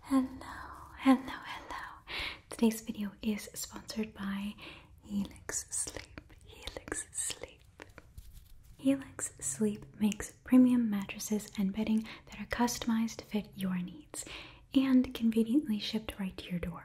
Hello, hello, hello. Today's video is sponsored by Helix Sleep. Helix Sleep. Helix Sleep makes premium mattresses and bedding that are customized to fit your needs and conveniently shipped right to your door.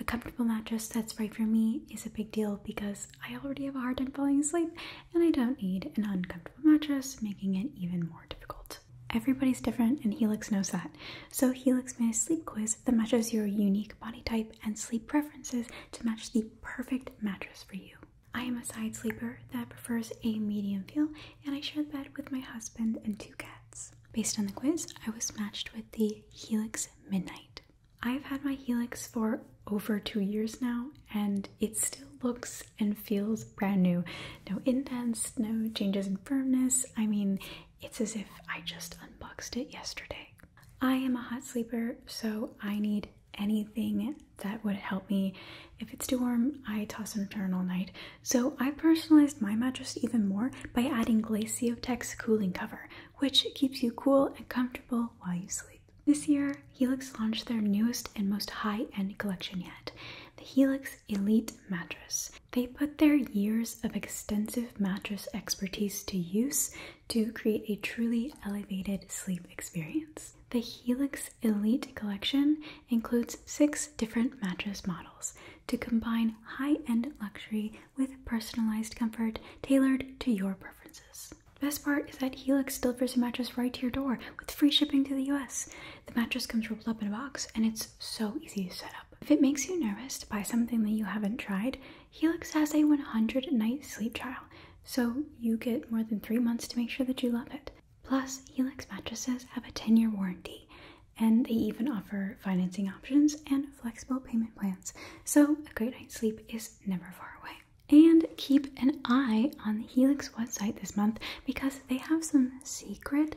A comfortable mattress that's right for me is a big deal because I already have a hard time falling asleep and I don't need an uncomfortable mattress, making it even more difficult. Everybody's different and Helix knows that. So Helix made a sleep quiz that matches your unique body type and sleep preferences to match the perfect mattress for you. I am a side sleeper that prefers a medium feel and I share the bed with my husband and two cats. Based on the quiz, I was matched with the Helix Midnight. I've had my Helix for over two years now and it still looks and feels brand new. No indents, no changes in firmness. I mean, it's as if I just unboxed it yesterday. I am a hot sleeper, so I need anything that would help me. If it's too warm, I toss and turn all night. So I personalized my mattress even more by adding Glaciotex cooling cover, which keeps you cool and comfortable while you sleep. This year, Helix launched their newest and most high-end collection yet. The Helix Elite Mattress. They put their years of extensive mattress expertise to use to create a truly elevated sleep experience. The Helix Elite collection includes six different mattress models to combine high-end luxury with personalized comfort tailored to your preferences. Best part is that Helix delivers your mattress right to your door with free shipping to the US. The mattress comes rolled up in a box and it's so easy to set up. If it makes you nervous to buy something that you haven't tried, Helix has a 100 night sleep trial, so you get more than three months to make sure that you love it. Plus, Helix mattresses have a 10 year warranty and they even offer financing options and flexible payment plans, so a great night's sleep is never far away. And keep an eye on the Helix website this month because they have some secret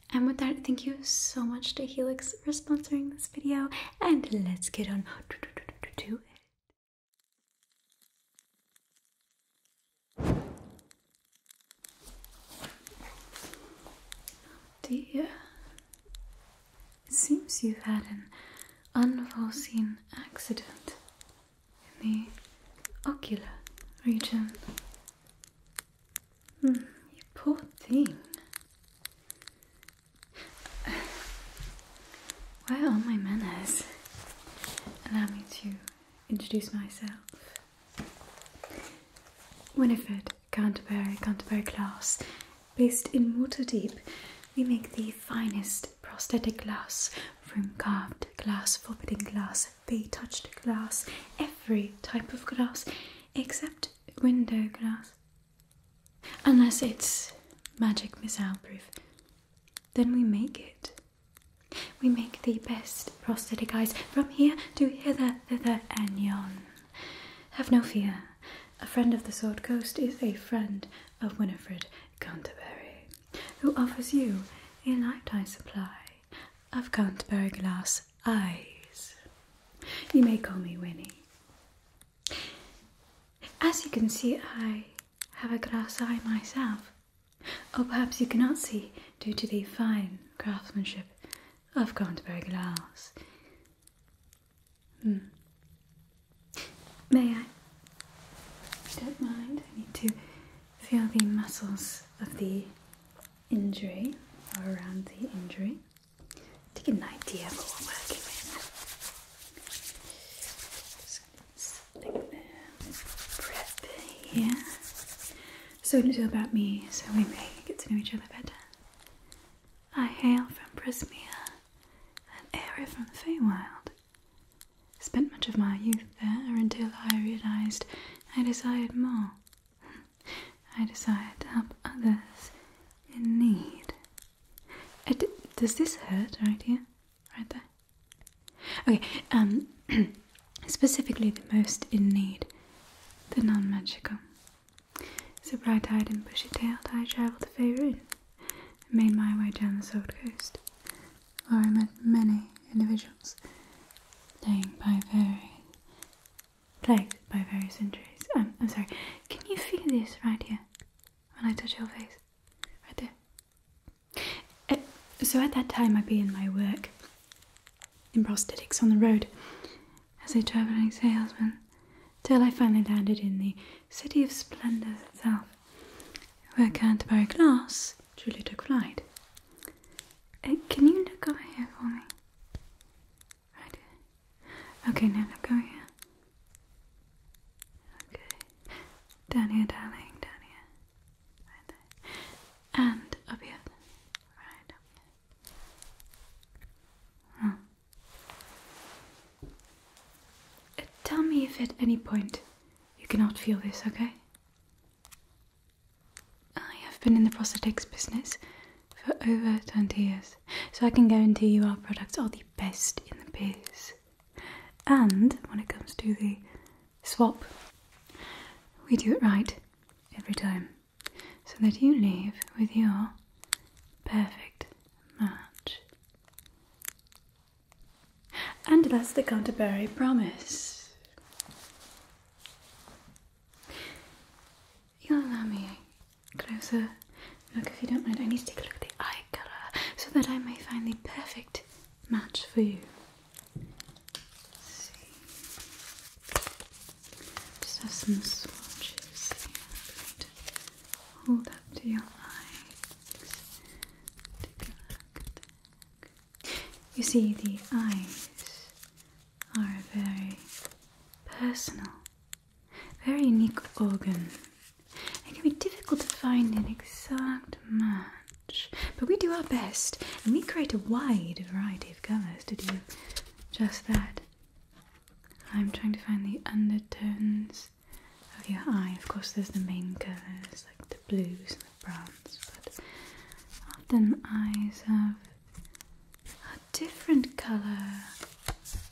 And with that, thank you so much to Helix for sponsoring this video, and let's get on to it. Dear, it seems you've had an unforeseen accident in the ocular region you poor thing. Where are my manners? Allow me to introduce myself. Winifred Canterbury, Canterbury Glass, based in Waterdeep. We make the finest prosthetic glass, from carved glass, forbidding glass, bay touched glass, every type of glass except window glass. Unless it's magic missile proof, then we make it. We make the best prosthetic eyes from here to hither, thither, and yon. Have no fear. A friend of the Sword Coast is a friend of Winifred Canterbury, who offers you a lifetime supply of Canterbury glass eyes. You may call me Winnie. As you can see, I have a glass eye myself. Or perhaps you cannot see due to the fine craftsmanship of Canterbury glass. Hmm. May I? don't mind, I need to feel the muscles of the injury or around the injury to get an idea of what we're working with. Just gonna prep here. So a about me so we may get to know each other better. I hail from Prismia, an area from the Feywild. Spent much of my youth there until I realised I desired more. I decided to help others in need. Uh, does this hurt right here? Right there? Okay, um, specifically the most in need, the non magical. So bright eyed and bushy tailed, I travelled to Faerun and made my way down the Sword Coast, where I met many individuals staying by ferry plagued by various injuries. Um, I'm sorry, can you feel this right here when I touch your face? Right there. Uh, so at that time, I'd be in my work in prosthetics on the road as a travelling salesman till I finally landed in the city of splendour itself, where Canterbury Glass truly took flight. Uh, can you look over here for me? I Okay, now, now go here. Okay. Down here, darling, down here. Right there. And up here. Right uh, Tell me if at any point you cannot feel this, okay? I have been in the prosthetics business for over 20 years, so I can guarantee you our products are the best in the biz. And when it comes to the swap, we do it right every time so that you leave with your perfect match. And that's the Canterbury Promise. You'll allow me closer look if you don't mind. I need to take a look at the eye colour so that I may find the perfect match for you. Just have some swatches Hold up to your eyes. Take a look. You see the eyes are a very personal, very unique organ. It can be difficult to find an exact match, but we do our best and we create a wide variety of colours to do just that. I'm trying to find the undertones of your eye. Of course, there's the main colours like the blues and the browns, but often eyes have a different color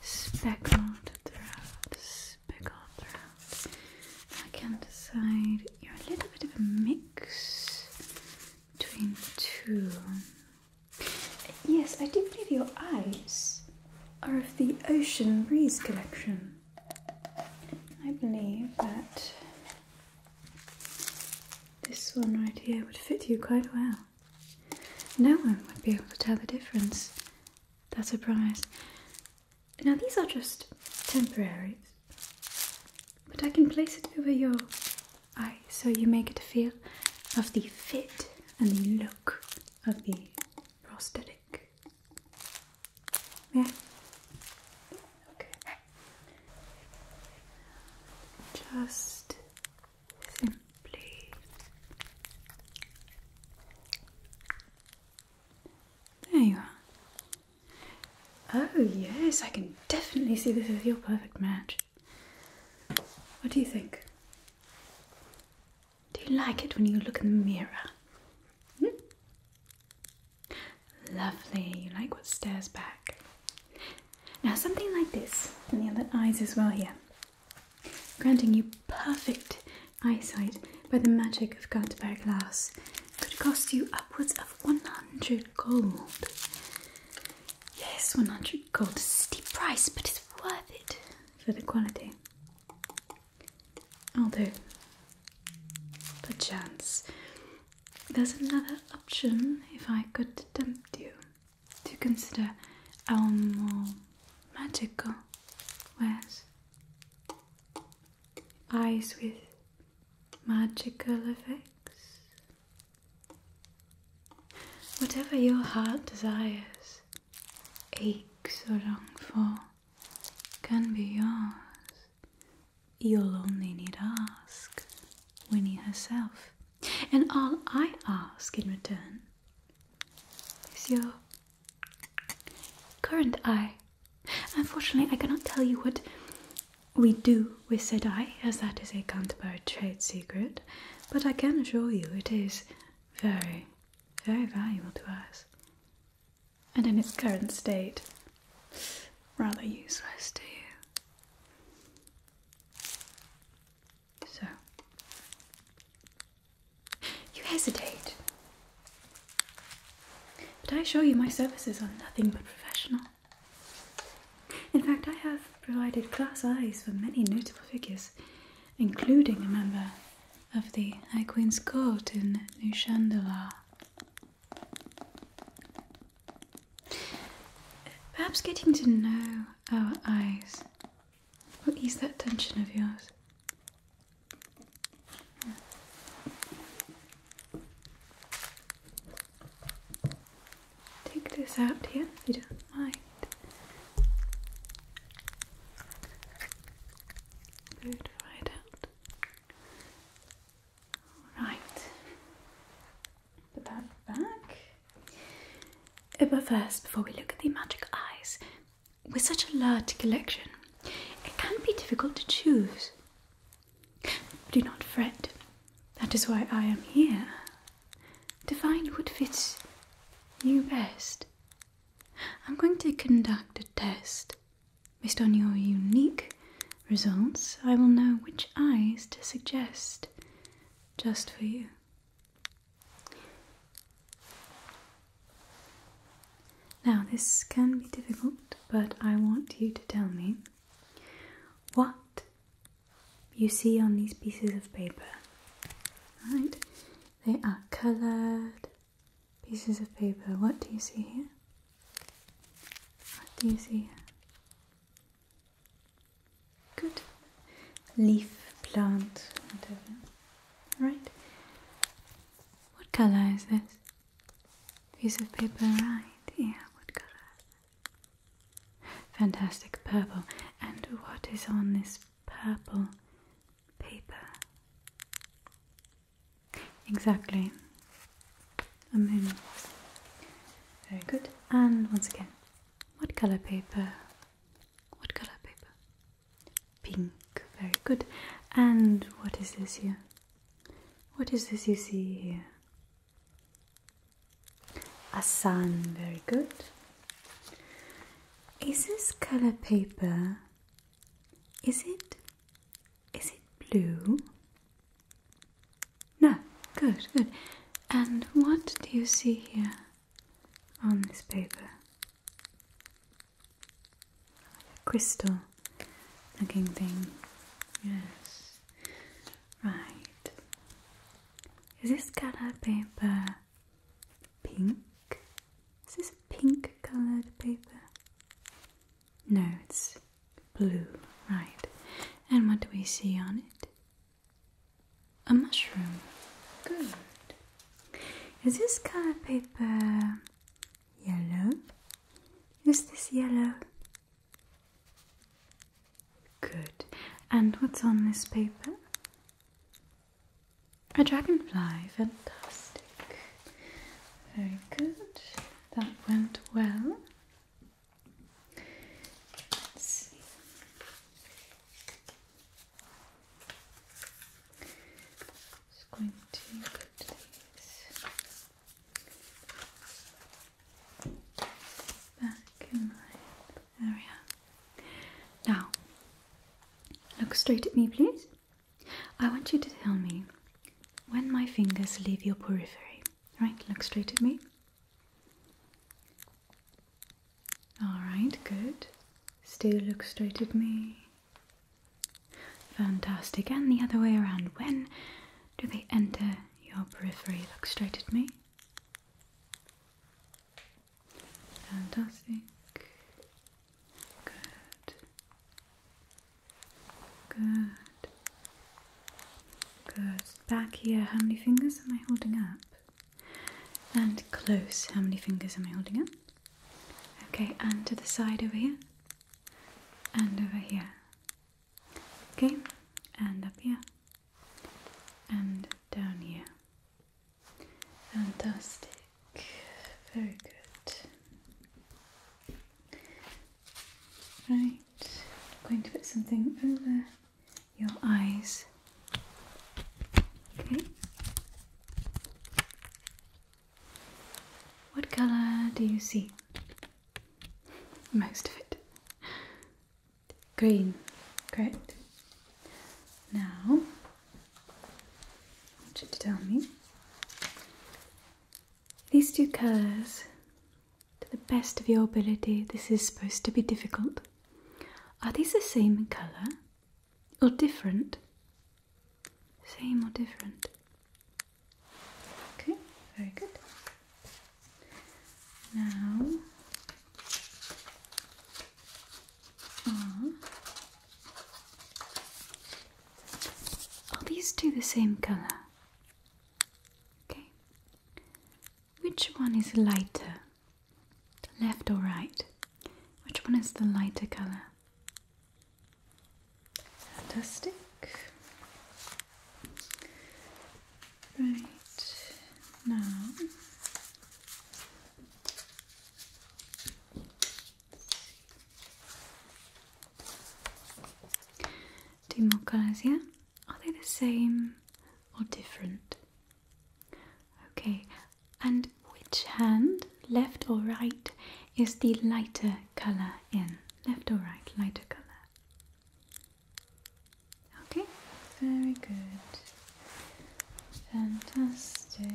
speckled throughout, speckled throughout. I can decide you're a little bit of a mix between two. Yes, I do believe your eyes are of the Ocean Breeze collection. I believe that this one right here would fit you quite well. No one would be able to tell the difference. That's a promise. Now, these are just temporaries, but I can place it over your eye so you make get feel of the fit and the look of the prosthetic. Yeah. Okay. Just there you are. Oh, yes, I can definitely see this is your perfect match. What do you think? Do you like it when you look in the mirror? Hmm? Lovely, you like what stares back. Now, something like this, and the other eyes as well here, granting you perfect eyesight by the magic of Canterbury glass, could cost you upwards of 100 gold. Yes, 100 gold is a steep price, but it's worth it for the quality. Although, perchance, there's another option if I could tempt you. To consider our more magical wares? Eyes with magical effects? Whatever your heart desires, aches or long for, can be yours. You'll only need ask Winnie herself and all I ask in return is your current eye. Unfortunately, I cannot tell you what we do with said eye, as that is a Canterbury trade secret, but I can assure you it is very, very valuable to us. And in its current state, rather useless to you. So, you hesitate, but I assure you my services are nothing but professional. In fact, I have provided class eyes for many notable figures, including a member of the High Queen's Court in New Perhaps getting to know our eyes will ease that tension of yours. Take this out here if you don't mind. right out. All right. Put that back. But first, before we look at the magic eyes, with such a large collection, it can be difficult to choose. Do not fret. That is why I am here. To find what fits you best. I'm going to conduct a test. Based on your unique results, I will know which eyes to suggest just for you. Now, this can be difficult, but I want you to tell me what you see on these pieces of paper. Right? They are coloured pieces of paper. What do you see here? What do you see here? Good. Leaf, plant, whatever. Right. What color is this? Piece of paper, right? Yeah, what color? Fantastic, purple. And what is on this purple paper? Exactly. A moon. Very good. And once again, what color paper? What color paper? Pink. Very good. And what is this here? What is this you see here? A sun. Very good. Is this color paper? Is it? Is it blue? No, good, good. And what do you see here on this paper? A crystal looking thing. Yes. Right. Is this color paper pink? Is this pink colored paper? No, it's blue. Right. And what do we see on it? A mushroom. Good. Is this kind of paper yellow? Is this yellow? Good. And what's on this paper? A dragonfly. Fantastic. Very good. That went well. Let's Just going to put these back in my area. Now, look straight at me, please. I want you to tell me when my fingers leave your periphery. Right, look straight at me. Alright, good. Still look straight at me. Fantastic. And the other way around. When do they enter your periphery? Look straight at me. Fantastic. Good. Good. Good. Back here, how many fingers am I holding up? And close, how many fingers am I holding up? Okay, and to the side over here. And over here. Okay, and up here. And down here. Fantastic. Very good. Right, I'm going to put something over your eyes. Okay. What color do you see? Most of it. Green, correct. Now, I want you to tell me these two colors to the best of your ability. This is supposed to be difficult. Are these the same colour or different? Same or different? Okay, very good. Now ah. are, these two the same colour? Okay. Which one is lighter? The left or right? Which one is the lighter color? Fantastic. Right now, two more colors here. Yeah? Are they the same? or different? Okay, and which hand, left or right, is the lighter colour in? Left or right, lighter colour. Okay, very good. Fantastic.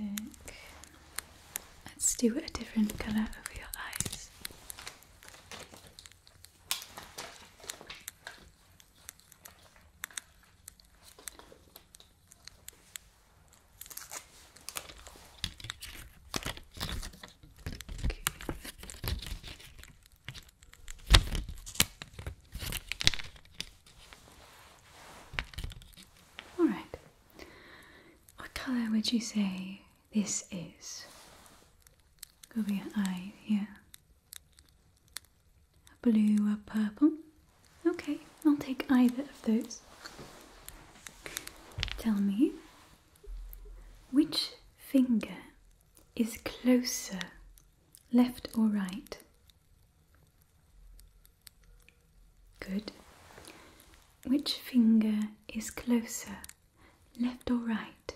Let's do a different colour over your eyes. All right. What color would you say this is? Go be an eye Yeah. A blue or purple? Okay, I'll take either of those. Tell me, which finger is closer, left or right? Good. Which finger is closer, left or right?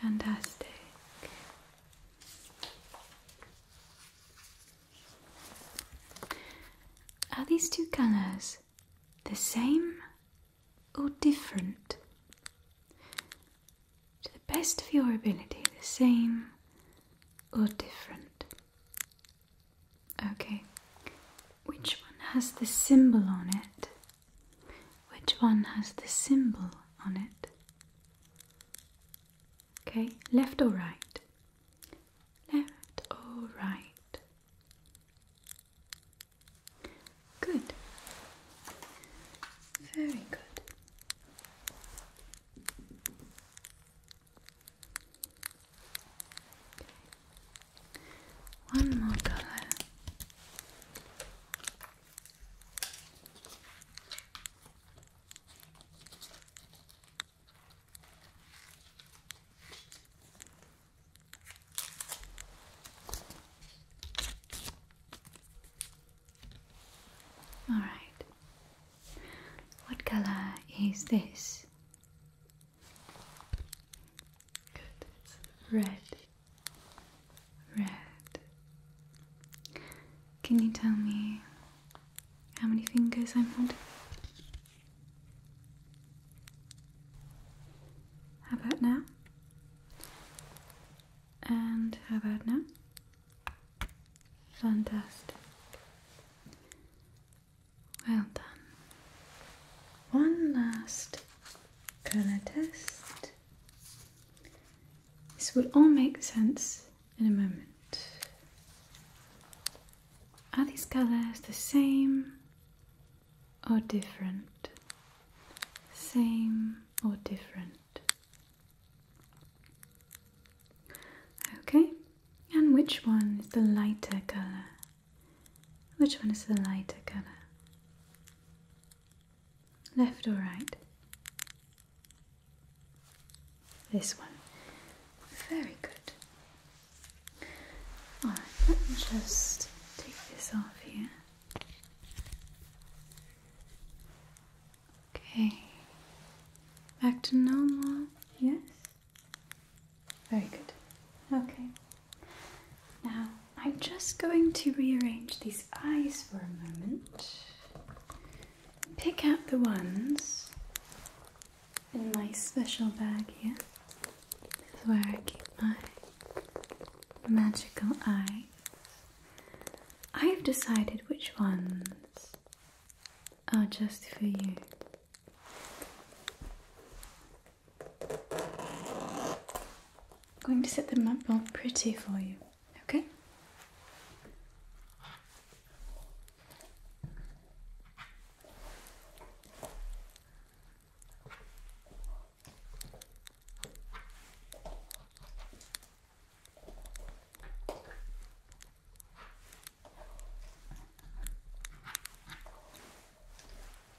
Fantastic. Are these two colors the same or different? To the best of your ability, the same or different? Okay, which one has the symbol on it? Which one has the symbol on it? Okay, left or right? Left or right? Good. Very good. One more color. All right. What color is this? Good. Red. Red. Can you tell me how many fingers I'm holding? How about now? And how about now? Fantastic. Well done. One last colour test. This will all make sense in a moment. Are these colours the same or different? Same or different? Okay, and which one is the lighter colour? Which one is the lighter colour? Left or right? This one. Very good. Alright, let me just take this off here. Okay. Back to normal, yes? Very good. Okay. Now, I'm just going to rearrange these eyes for a moment. Pick out the ones in my special bag here. This is where I keep my magical eyes. I've decided which ones are just for you. I'm going to set them up all pretty for you, okay?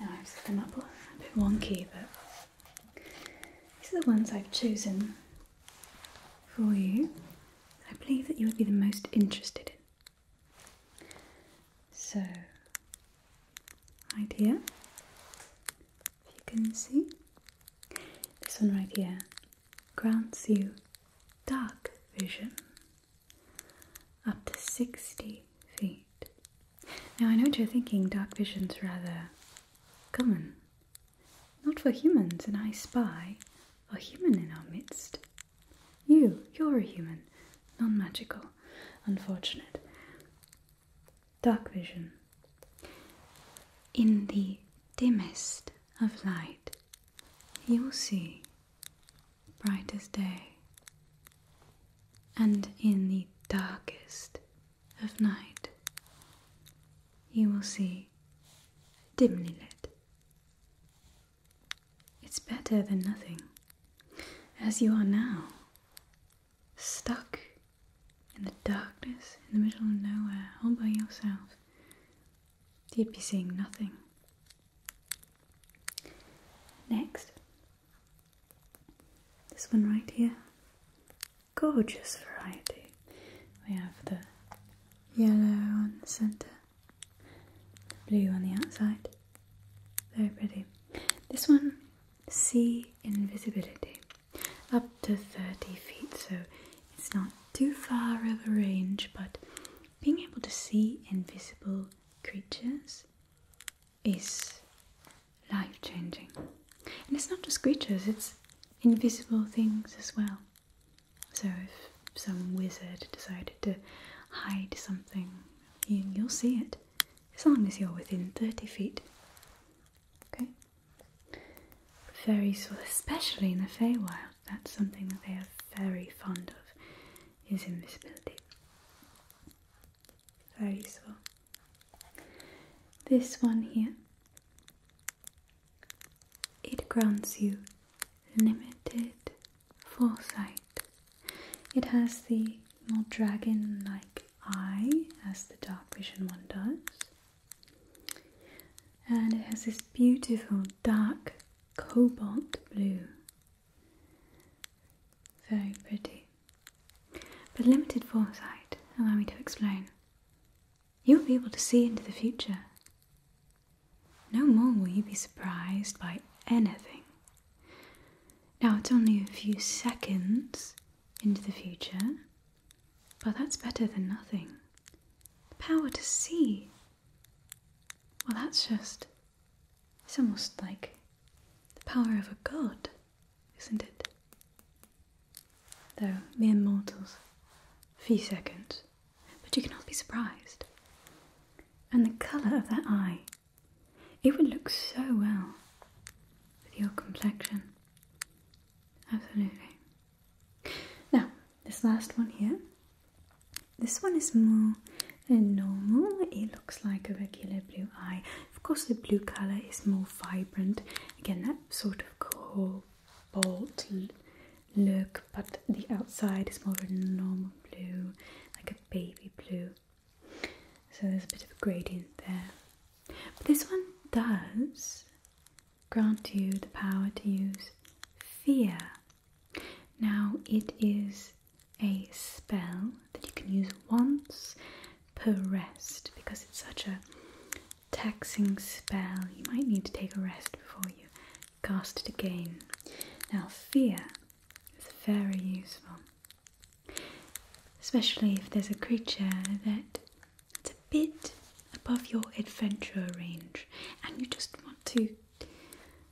Now I've set them up a bit wonky, but these are the ones I've chosen for you I believe that you would be the most interested in. So, right here, if you can see, this one right here grants you dark vision up to 60 feet. Now, I know what you're thinking dark vision's rather common. Not for humans, and I spy a human in our midst. You, you're a human, non magical, unfortunate. Dark vision. In the dimmest of light, you will see bright as day, and in the darkest of night, you will see dimly lit it's better than nothing, as you are now, stuck in the darkness in the middle of nowhere, all by yourself. You'd be seeing nothing. Next, this one right here. Gorgeous variety. We have the yellow on the centre, blue on the outside. Very pretty. This one, see invisibility, up to 30 feet, so it's not too far of a range, but being able to see invisible creatures is life changing. And it's not just creatures, it's invisible things as well. So if some wizard decided to hide something, you, you'll see it as long as you're within 30 feet. Okay? useful, especially in the Feywild, that's something that they are very fond of, is invisibility. Very useful. This one here, it grants you limited foresight. It has the more dragon like eye as the dark vision one does, and it has this beautiful dark cobalt blue. Very pretty. But limited foresight, allow me to explain. You'll be able to see into the future. No more will you be surprised by anything. Now it's only a few seconds into the future, but that's better than nothing. The power to see. Well, that's just. It's almost like the power of a god, isn't it? Though mere mortals, few seconds but you cannot be surprised. And the colour of that eye, it would look so well with your complexion. Absolutely. Now, this last one here. This one is more normal. It looks like a regular blue eye. Of course, the blue colour is more vibrant. Again, that sort of cool, bold look, but the outside is more of a normal blue, like a baby blue. So there's a bit of a gradient there. But this one does grant you the power to use fear. Now, it is a spell that you can use once per rest because it's such a taxing spell. You might need to take a rest before you cast it again. Now, fear is very useful, especially if there's a creature that it's a bit above your adventure range and you just want to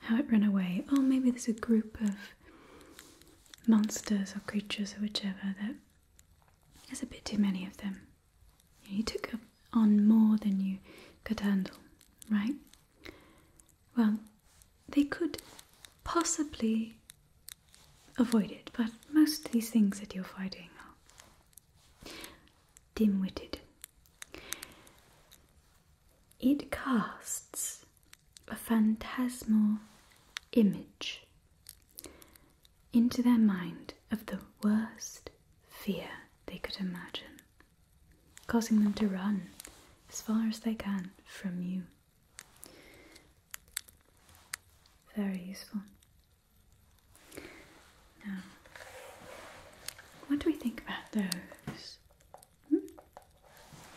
have it run away. Or maybe there's a group of monsters or creatures or whichever that there's a bit too many of them. You took on more than you could handle, right? Well, they could possibly avoid it, but most of these things that you're fighting are dim witted. It casts a phantasmal image into their mind of the worst fear they could imagine causing them to run as far as they can from you. Very useful. Now, what do we think about those? Hmm?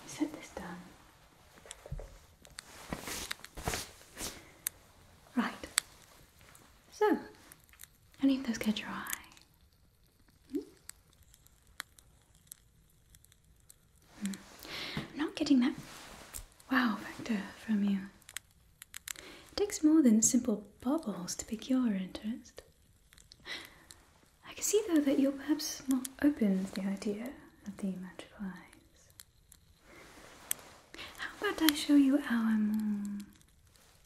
Set this down. Right. So, I need those catch your eye. Hmm. not getting that wow factor from you. It takes more than simple bubbles to pique your interest. I can see though that you're perhaps not open to the idea of the magic eyes. How about I show you our more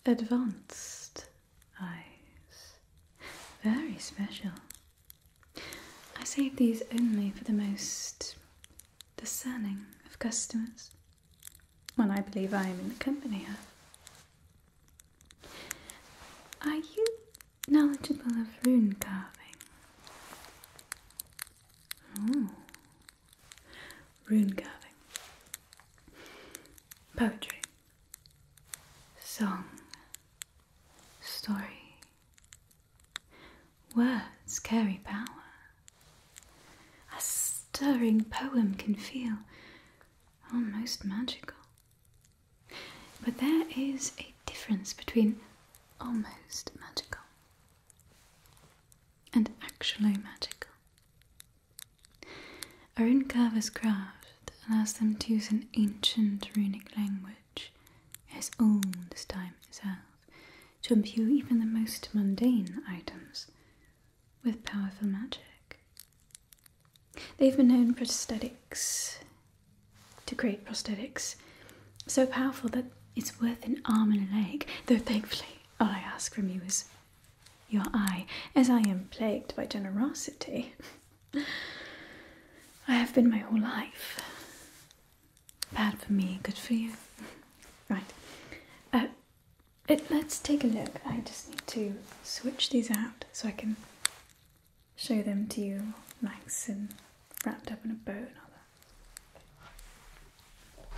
advanced eyes. Very special. I save these only for the most discerning of customers. When I believe I am in the company of. Are you knowledgeable of rune carving? Oh, rune carving. Poetry. Song, story. Words carry power. A stirring poem can feel almost magical. But there is a difference between almost magical and actually magical. I rune carver's craft allows them to use an ancient runic language, as old as time itself, to imbue even the most mundane items with powerful magic. They've been known prosthetics to create prosthetics so powerful that it's worth an arm and a leg, though thankfully all I ask from you is your eye, as I am plagued by generosity. I have been my whole life. Bad for me, good for you. Right. Uh, let's take a look. I just need to switch these out so I can show them to you nice and wrapped up in a bow and all that.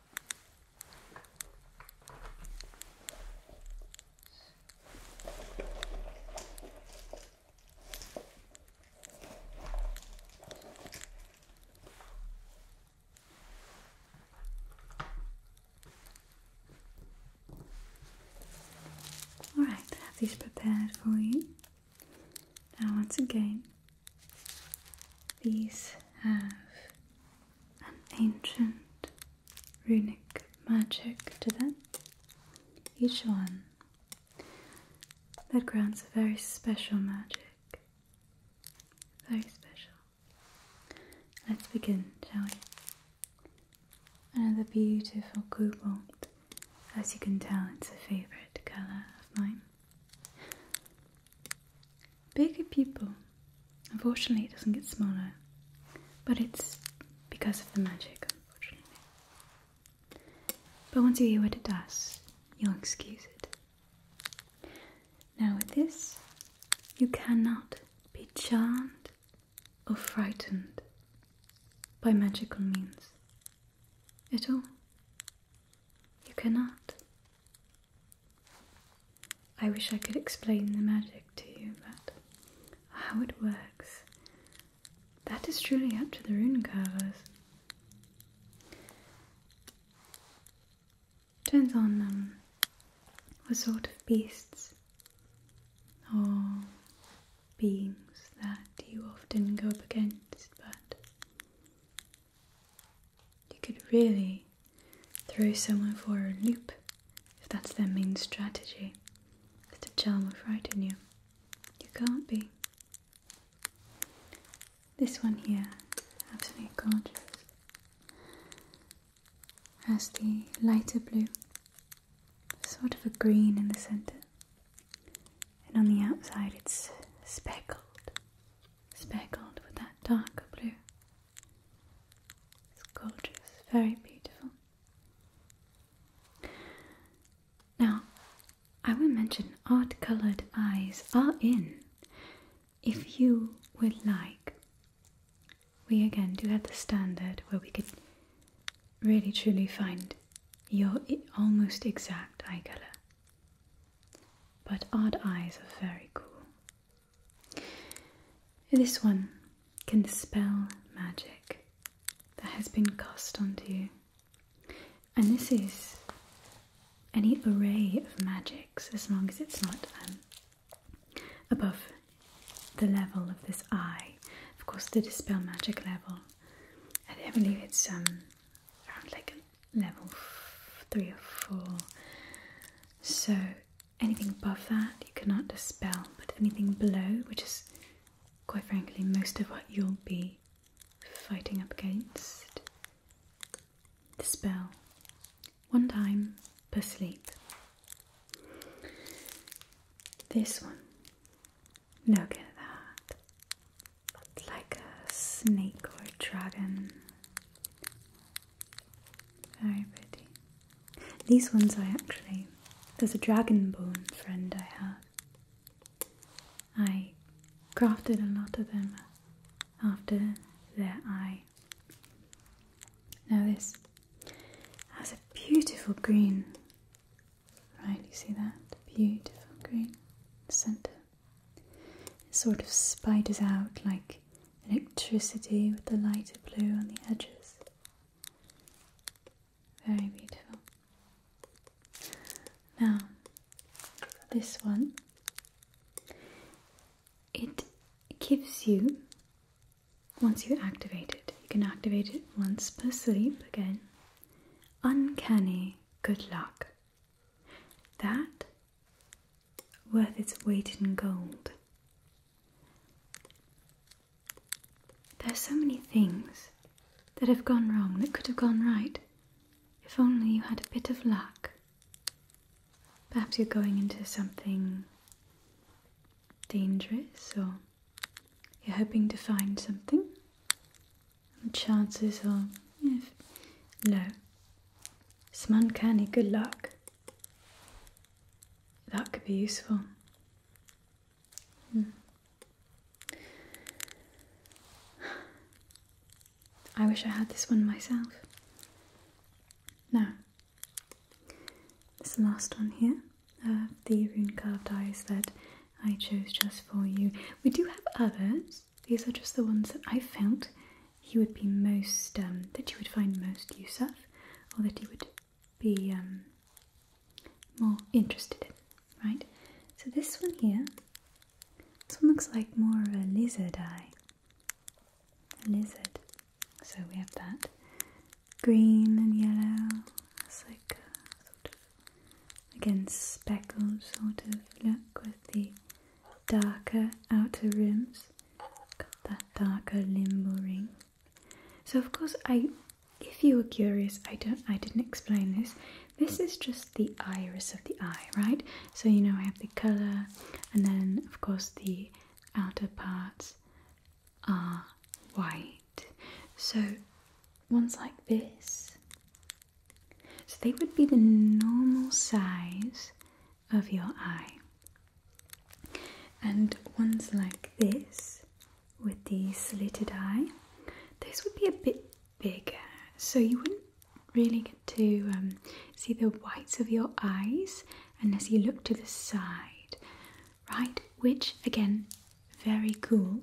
All right, have these prepared for you. Now, once again, these have an ancient runic magic to that each one, that grants a very special magic. Very special. Let's begin, shall we? Another beautiful cobalt. As you can tell, it's a favourite colour of mine bigger people, Unfortunately, it doesn't get smaller, but it's because of the magic, unfortunately. But once you hear what it does, you'll excuse it. Now, with this, you cannot be charmed or frightened by magical means at all. You cannot. I wish I could explain the magic to you, but how it works, that is truly up to the rune carvers. Turns on um, what sort of beasts or beings that you often go up against, but you could really throw someone for a loop if that's their main strategy is to charm or frighten you. You can't be. This one here, absolutely gorgeous, has the lighter blue, sort of a green in the centre, and on the outside it's speckled, speckled with that darker blue. It's gorgeous, very beautiful. Now, I will mention odd colored eyes are in if you would like. We again do have the standard where we could really truly find your almost exact eye color. But odd eyes are very cool. This one can dispel magic that has been cast onto you. And this is any array of magics as long as it's not um, above the level of this eye. Of course, the dispel magic level, I believe it's um, around like level three or four. So anything above that you cannot dispel, but anything below, which is quite frankly most of what you'll be fighting up against, spell, one time per sleep. This one, look at that, it's like a snake or a dragon. Very pretty. These ones I actually, there's a dragon friend I have. I crafted a lot of them after their eye. Now this has a beautiful green. Right, you see that? Beautiful green center. It sort of spiders out like electricity with the lighter blue on the edges. Very beautiful. Now, this one, it gives you, once you activate it, you can activate it once per sleep again, uncanny good luck. That worth its weight in gold. There are so many things that have gone wrong that could have gone right if only you had a bit of luck. Perhaps you're going into something dangerous or you're hoping to find something. The chances are yeah, low. It's uncanny good luck. That could be useful. Hmm. I wish I had this one myself. Now, this last one here, uh, the rune carved eyes that I chose just for you. We do have others, these are just the ones that I found he would be most um, that you would find most use of, or that he would be um, more interested in, right? So this one here, this one looks like more of a lizard eye. A lizard. So we have that green and yellow. It's like again speckled sort of look with the darker outer rims that darker limbo ring. So of course I if you were curious, I don't I didn't explain this. This is just the iris of the eye, right? So you know I have the colour and then of course the outer parts are white. So ones like this. So they would be the normal size of your eye. And ones like this with the slitted eye, those would be a bit bigger, so you wouldn't really get to um, see the whites of your eyes unless you look to the side, right? Which, again, very cool,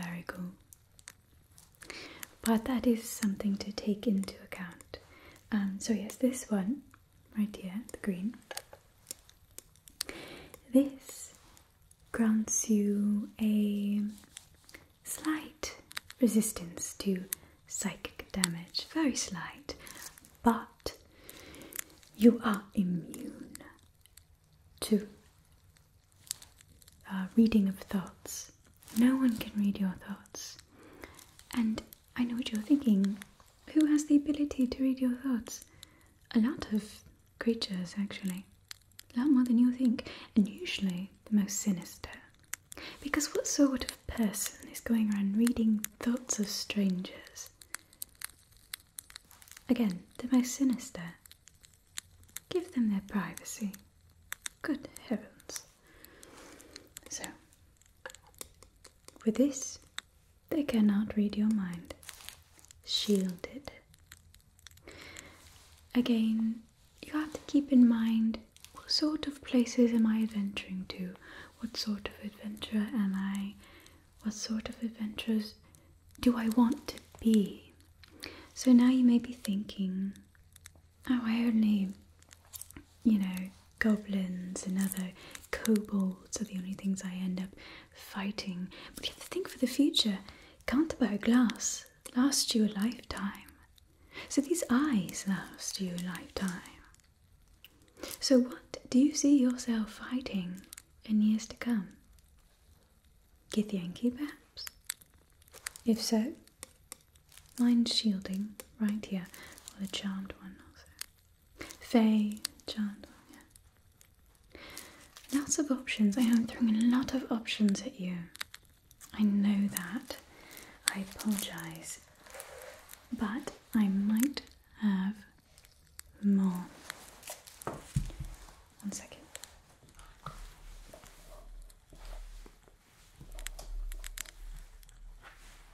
very cool. But that is something to take into account. Um, so, yes, this one right here, the green. This grants you a slight resistance to psychic damage, very slight, but you are immune to uh, reading of thoughts. No one can read your thoughts, and I know what you're thinking. Who has the ability to read your thoughts? A lot of creatures, actually. A lot more than you think, and usually the most sinister. Because what sort of person is going around reading thoughts of strangers? Again, the most sinister. Give them their privacy. Good heavens. So, with this, they cannot read your mind. Shielded. Again, you have to keep in mind what sort of places am I adventuring to? What sort of adventurer am I? What sort of adventurers do I want to be? So now you may be thinking, oh, I only you know, goblins and other kobolds are the only things I end up fighting. But you have to think for the future. Can't Canterbury glass last you a lifetime. So these eyes last you a lifetime. So, what do you see yourself fighting in years to come? Githyanki, perhaps? If so, Mind shielding right here, or the charmed one also. Fay, charmed Lots of options. I am throwing a lot of options at you. I know that. I apologise. But I might have more. One second.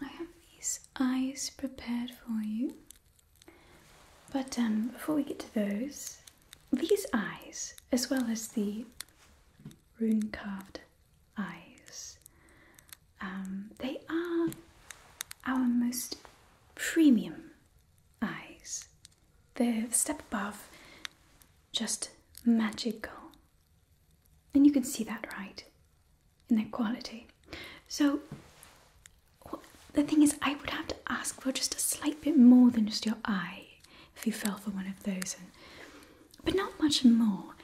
I have these eyes prepared for you. But um, before we get to those, these eyes, as well as the rune carved eyes, um, they are our most premium eyes the step above just magical. And you can see that, right? In their quality. So the thing is, I would have to ask for just a slight bit more than just your eye if you fell for one of those, but not much more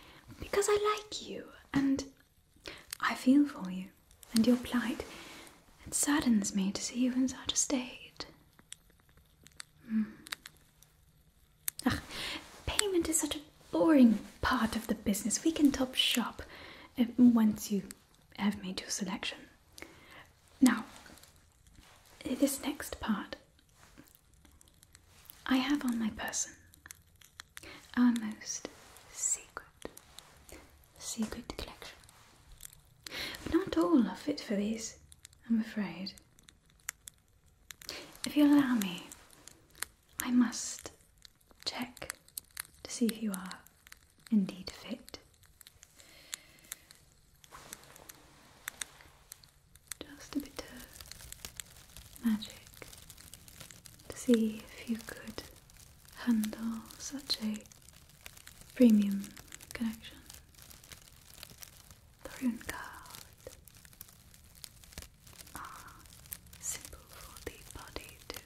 because I like you and I feel for you and your plight. It saddens me to see you in such a state. Mm. payment is such a boring part of the business. We can top shop uh, once you have made your selection. Now, this next part I have on my person our most secret, secret collection not all are fit for these, I'm afraid. If you allow me, I must check to see if you are indeed fit. Just a bit of magic to see if you could handle such a premium connection, the rune card, ah, simple for the body to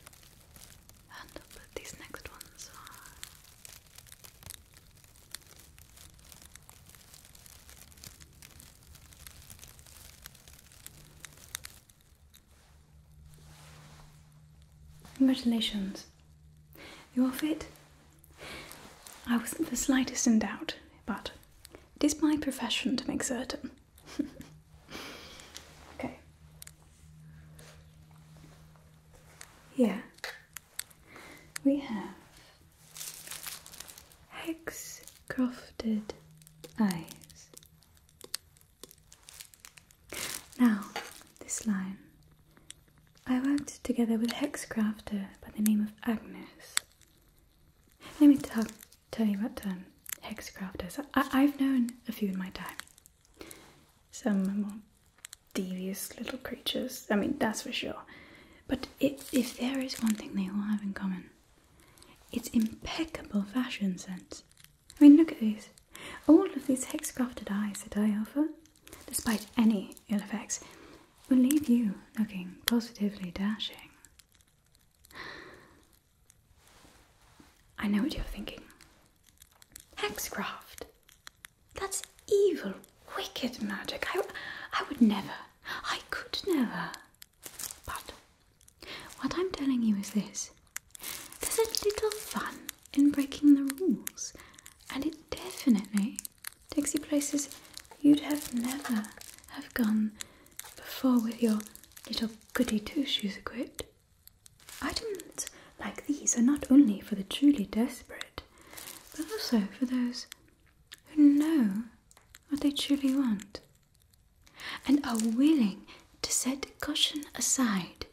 handle, but these next ones are Congratulations. You are fit I wasn't the slightest in doubt, but it is my profession to make certain. okay. Yeah, we have hex crofted eyes. Now, this line I worked together with a hex crafter by the name of Agnes. Let me talk, tell you about um, hex crafters. I, have known a few in my time. Some more devious little creatures, I mean, that's for sure. But if there is one thing they all have in common, it's impeccable fashion sense. I mean, look at these. All of these hex crafted eyes that I offer despite any ill effects, will leave you looking positively dashing. I know what you're thinking. Hexcraft! That's evil, wicked magic. I, I would never, I could never. But what I'm telling you is this there's a little fun in breaking the rules, and it definitely takes places you'd have never have gone before with your little goody two-shoes equipped. Items like these are not only for the truly desperate, but also for those who know what they truly want and are willing to set caution aside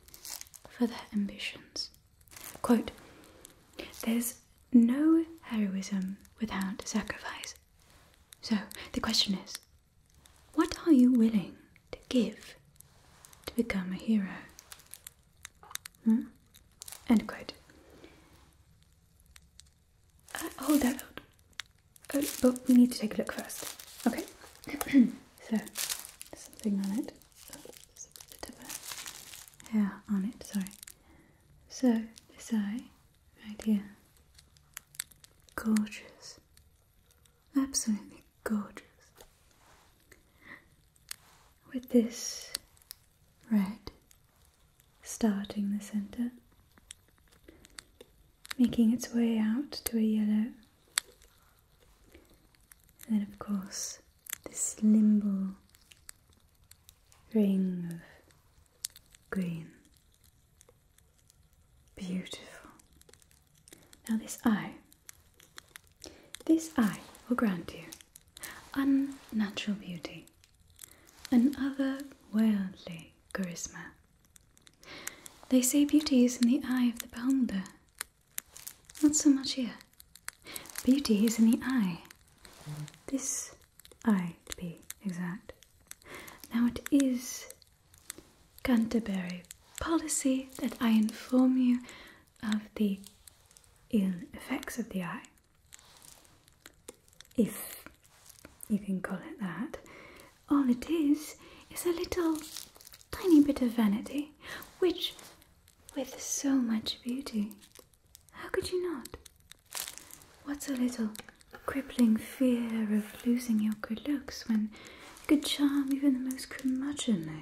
for their ambitions. Quote There's no heroism without sacrifice. So the question is what are you willing to give to become a hero? Hmm? End quote. Uh, hold that out. Oh, but we need to take a look first. Okay. so, something on it bit, hair on it, sorry. So, this eye, right here, gorgeous, absolutely gorgeous. With this red starting the centre, making its way out to a yellow, and then of course this limbal ring of green. Beautiful. Now, this eye, this eye will grant you unnatural beauty, an otherworldly charisma. They say beauty is in the eye of the beholder, not so much here. Beauty is in the eye. This eye, to be exact. Now it is Canterbury policy that I inform you of the ill effects of the eye. If you can call it that. All it is is a little tiny bit of vanity, which, with so much beauty, how could you not? What's a little crippling fear of losing your good looks when good charm even the most curmudgeonly?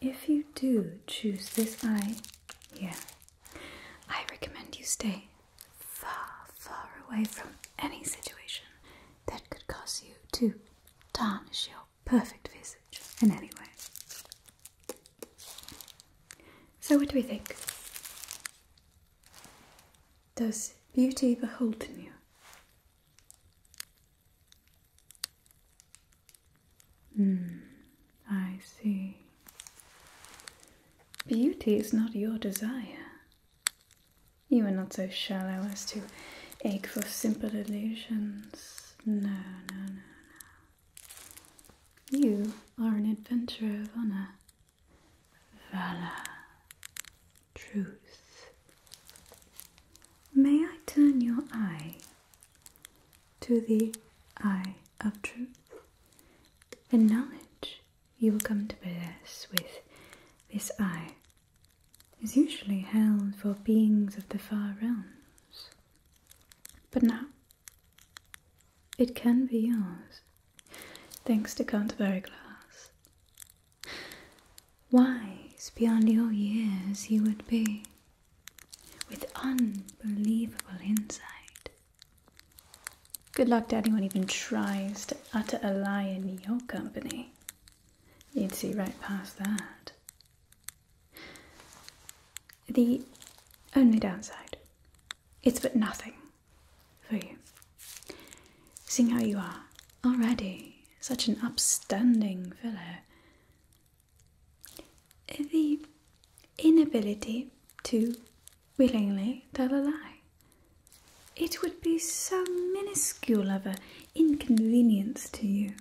If you do choose this eye yeah, I recommend you stay far, far away from any situation that could cause you to tarnish your perfect visage in any way. So, what do we think? Does beauty behold in you? Hmm, I see. Beauty is not your desire. You are not so shallow as to ache for simple illusions. No, no, no, no. You are an adventurer of honor, valor, truth. May I turn your eye to the eye of truth? The knowledge you will come to possess with this eye is usually held for beings of the far realms. But now, it can be yours, thanks to Canterbury Glass. Wise beyond your years you would be, with unbelievable insight. Good luck to anyone even tries to utter a lie in your company. You'd see right past that. The only downside it's but nothing for you. Seeing how you are already such an upstanding fellow, the inability to willingly tell a lie. It would be so minuscule of an inconvenience to you.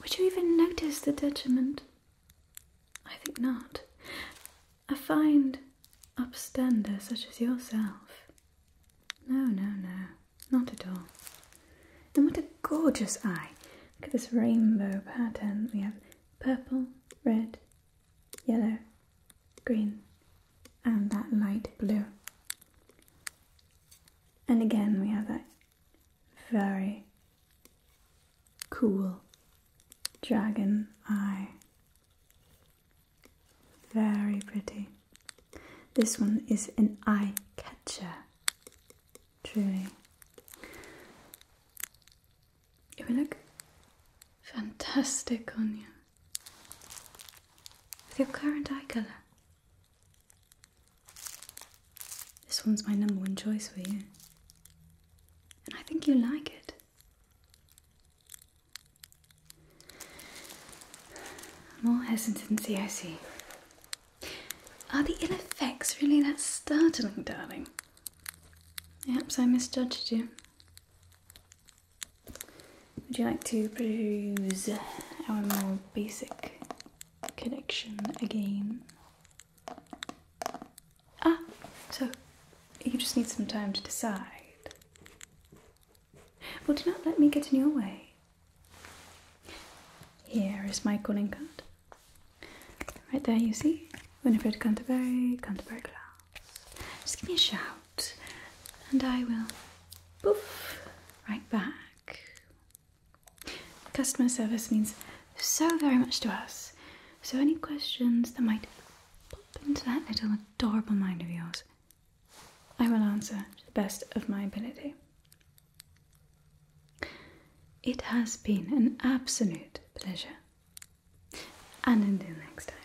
Would you even notice the detriment? I think not. I find upstander such as yourself. No, no, no, not at all. And what a gorgeous eye! Look at this rainbow pattern. We have purple, red, yellow, green, and that light blue. And again, we have that very cool dragon eye. Very pretty. This one is an eye catcher, truly. It will look fantastic on you with your current eye colour. This one's my number one choice for you. And I think you like it. More hesitancy, I see. Are the ill effects really that startling, darling? Perhaps I misjudged you. Would you like to produce our more basic connection again. Ah, so you just need some time to decide. Well, do not let me get in your way. Here is my calling card. Right there, you see? Winifred Canterbury, Canterbury Glass. Just give me a shout, and I will boof right back Customer service means so very much to us. So, any questions that might pop into that little adorable mind of yours, I will answer to the best of my ability. It has been an absolute pleasure. And until next time.